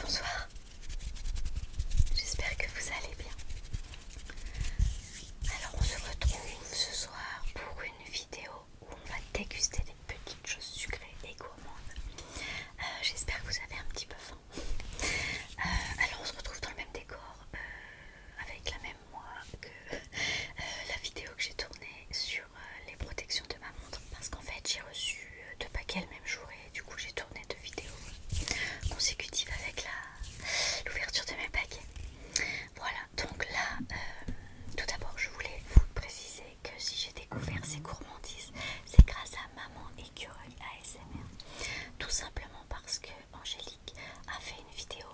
Bonsoir, j'espère que vous allez bien. Alors on se retrouve ce soir pour une vidéo où on va déguster des petites choses sucrées et gourmandes. Euh, j'espère que vous avez un petit peu euh, alors on se retrouve dans le même décor, euh, avec la même moi que euh, la vidéo que j'ai tournée sur les protections de ma montre. Parce qu'en fait j'ai reçu deux paquets le même jour et du coup j'ai tourné deux vidéos consécutives avec l'ouverture de mes paquets. Voilà, donc là, tout d'abord je voulais vous préciser que si j'ai découvert ces gourmandises, c'est grâce à maman Écureuil ASMR. Tout simplement parce que Angélique a fait une vidéo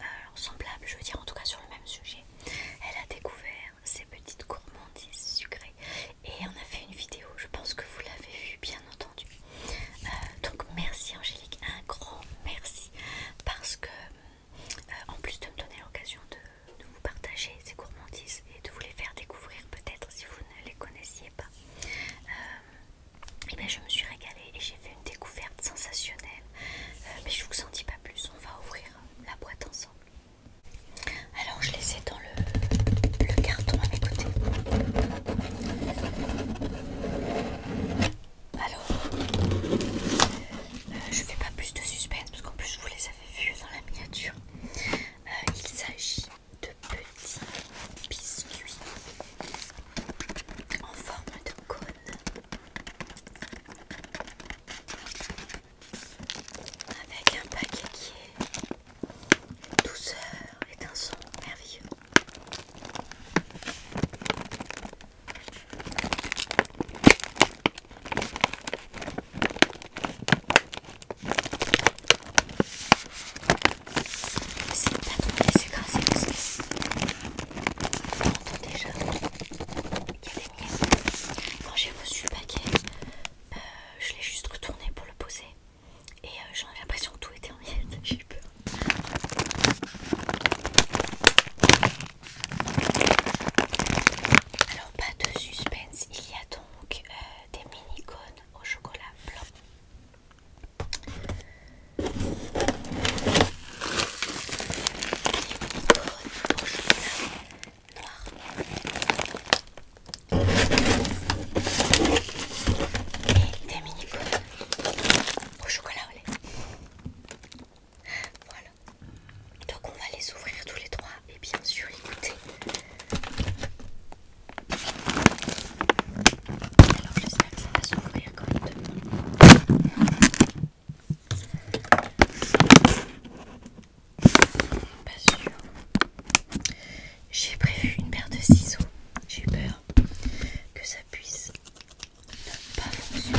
euh, semblable, je veux dire en tout cas sur le même sujet. Elle a découvert ces petites gourmandises sucrées et on a fait une vidéo, je pense que vous l'avez vu bien entendu. Euh, donc merci Angélique, un grand merci parce que euh, en plus de me donner l'occasion de de vous partager ces gourmandises et de vous les faire découvrir peut-être si vous ne les connaissiez pas. et euh, eh bien je me suis régalée et j'ai fait une découverte sensationnelle. Euh, mais je vous en dis pas plus, on va ouvrir la boîte ensemble. Alors je les ai dans le, carton à mes côtés. Alors, je euh, je fais pas plus de suspense parce qu'en plus je vous les avez vus dans la miniature. Euh, il s'agit de petits biscuits en forme de cône. Avec un paquet qui est douceur et un son merveilleux. C'est de pas trop les écraser parce que on entend déjà qu'il y a des miettes. Quand j'ai reçu le paquet, euh, je l'ai juste retourné pour le poser et euh, j'en l'impression que tout était en miettes. J'ai peur. Alors pas de suspense, il y a donc euh, des mini cônes au chocolat blanc. Des Au chocolat noir. Et des mini cônes au chocolat au lait. Voilà. Donc on va les ouvrir tous les trois et bien sûr les Alors j'espère que ça va s'ouvrir correctement. Pas sûr. J'ai prévu une paire de ciseaux. J'ai peur que ça puisse n'a pas fonctionné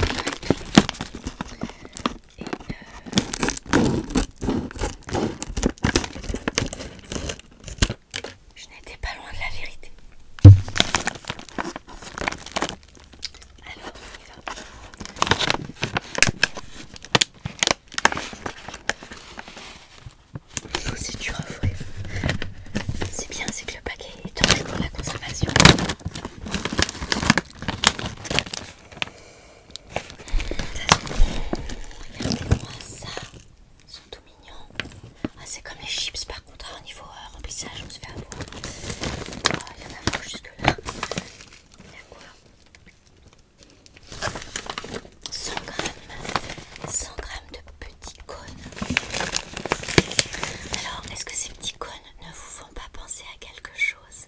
et je n'étais pas loin de la vérité. Alors on y va. Si c'est bien, c'est que le paquet est dangereux pour la conservation. Regardez-moi ah, ça. Ils sont tout mignons. c'est comme les chips par contre. Hein, au niveau euh, remplissage, on se fait avoir. Ah, il y en a pas jusque là. Il y a quoi 100 grammes, 100 grammes de petits cônes. Alors, est-ce que ces petits cônes ne vous font pas penser à quelque chose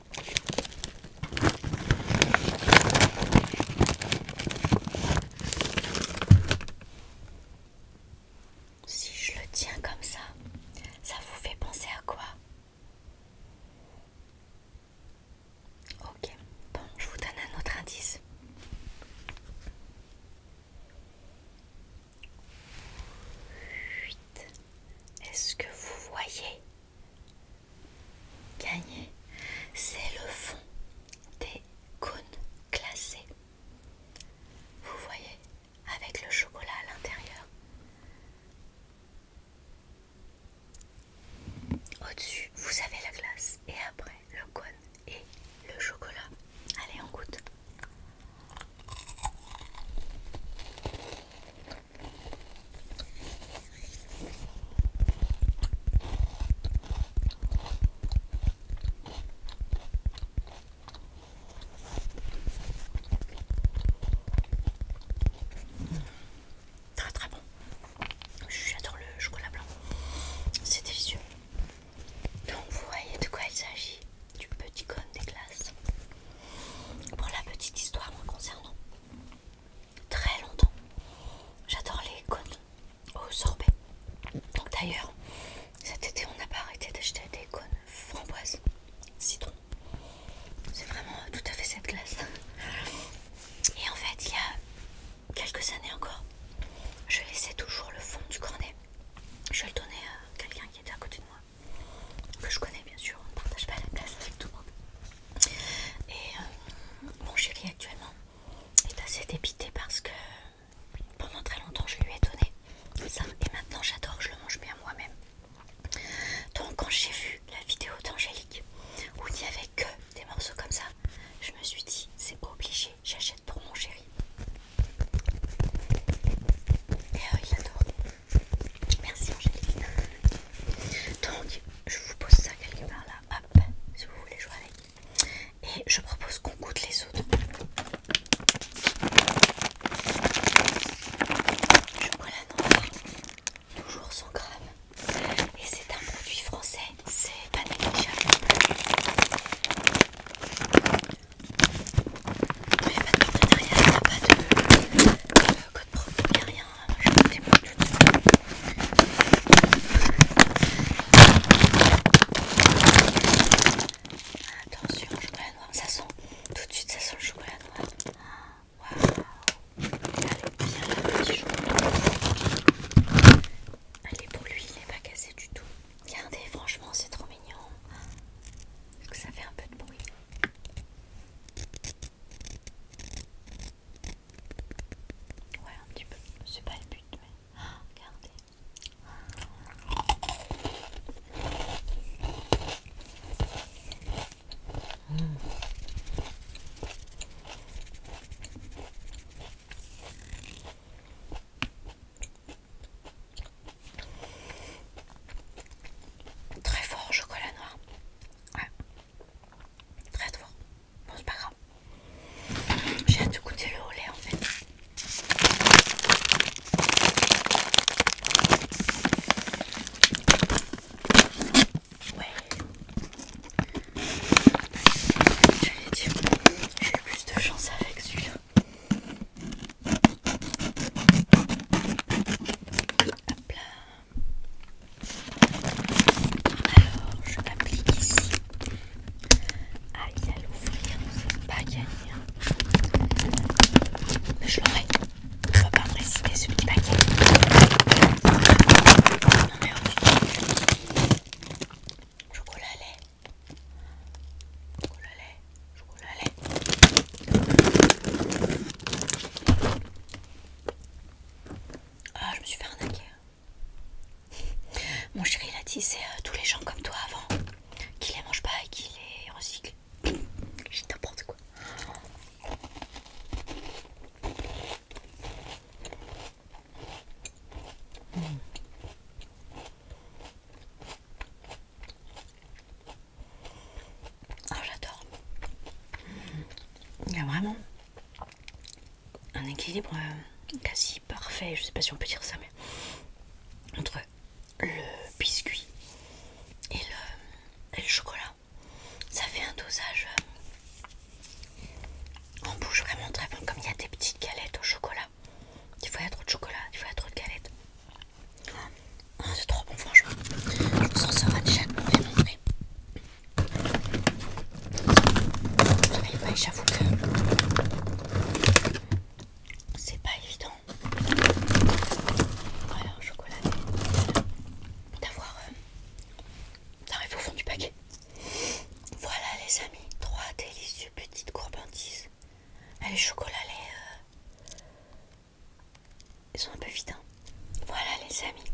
Si je le tiens comme ça, ça vous fait penser à quoi Ok, bon, je vous donne un autre indice. 8 Est-ce que vous voyez Gagner c'est le fond des cônes glacés. Vous voyez, avec le chocolat à l'intérieur. Au-dessus, vous avez la glace et après le cône et le chocolat. Allez, on goûte. Très très bon. J'adore le chocolat blanc. C'est délicieux. Donc vous voyez de quoi il s'agit, du petit cône des glaces. Pour la petite histoire moi concernant, très longtemps, j'adore les cônes au sorbet. Donc d'ailleurs, cet été on n'a pas arrêté d'acheter des cônes framboise, citron. C'est vraiment tout à fait cette glace. Et en fait, il y a quelques années encore, je laissais toujours le fond du cornet je vais le donnais à quelqu'un qui était à côté de moi, que je connais bien sûr, on ne partage pas la place avec tout le monde. Et euh, mon chéri actuellement est assez dépité parce que pendant très longtemps je lui ai donné ça et maintenant j'adore, je le mange bien moi-même. Donc quand j'ai vu la vidéo d'Angélique où il n'y avait que des morceaux comme ça, je me suis dit c'est obligé j'achète pour mon chéri. Et eh oh il adore. Merci Angélique. Donc, je vous pose ça quelque part là, hop, si vous voulez jouer avec. Et je propose qu'on goûte les autres. Je la noir, toujours sans grave Et c'est un produit français c'est pas négligeable mais il n'y a pas de partenariat, il y'a pas de, de euh, code promo, il n'y a rien, hein. je me débrouille tout Attention, chocolat noir, ça sent, tout de suite ça sent le chocolat noir Waouh, bien le petit chocolat petite elle est pour lui, il n'est pas cassé du tout. Regardez, franchement, c'est trop mignon. Que ça fait un peu de bruit. Ouais, un petit peu. C'est pas le but, mais regardez. Mmh. Très fort chocolat noir. Ouais. Très fort. Bon, c'est pas grave. J'ai hâte de goûter le en fait. Ouais. l'ai dire, j'ai plus de chance avec celui-là. Alors, je m'applique ici. il à l'ouvrir, c'est pas gagné. Mais hein. je l'aurai. Je ne vais pas me ce petit paquet chocolat lait. Chocolat lait. Chocolat lait. Ah, je me suis fait arnaquer. Hein. Mon chéri il dit c'est euh, tous les gens comme toi avant qui les mangent pas et qui les recyclent. J'ai n'importe quoi. Oh j'adore. Il y a vraiment un équilibre euh, quasi parfait. Je sais pas si on peut dire ça, mais entre le biscuit et le chocolat ça fait un dosage On euh, bouge vraiment très bon. Comme il y a des petites galettes au chocolat, il faut y avoir trop de chocolat, il faut y avoir trop de galettes. Ah, c'est trop bon, franchement. Je sera en sors déjà de mauvais montrer. J'avoue que c'est pas évident. Voilà, chocolat. D'avoir. Euh, arrive au fond du paquet. Voilà les amis, trois délicieuses petites courbandises. Ah, les chocolats, euh, les... Ils sont un peu vides. Hein. Voilà les amis.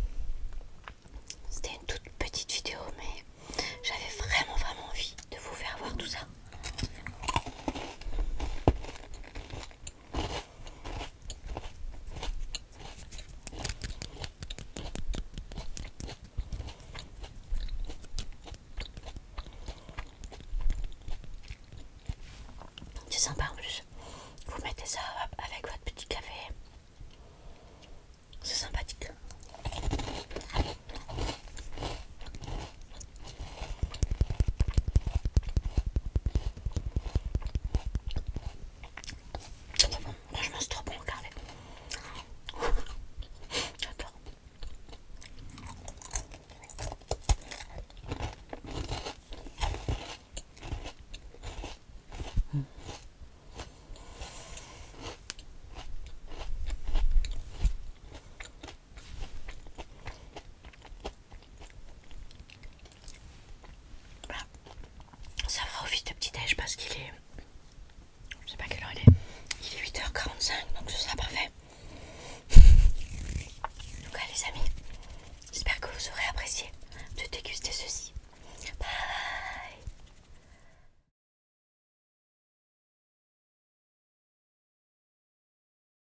C'était une toute petite vidéo mais j'avais vraiment vraiment envie de vous faire voir tout ça. C'est sympa en plus. Vous mettez ça avec votre petit café. C'est sympathique. C'est trop je franchement c'est trop bon, J'adore. Ça fera office de petit déj parce qu'il est... Je sais pas quelle heure il est. Il est 8h45 donc ce sera parfait. En les amis, j'espère que vous aurez apprécié de déguster ceci. Bye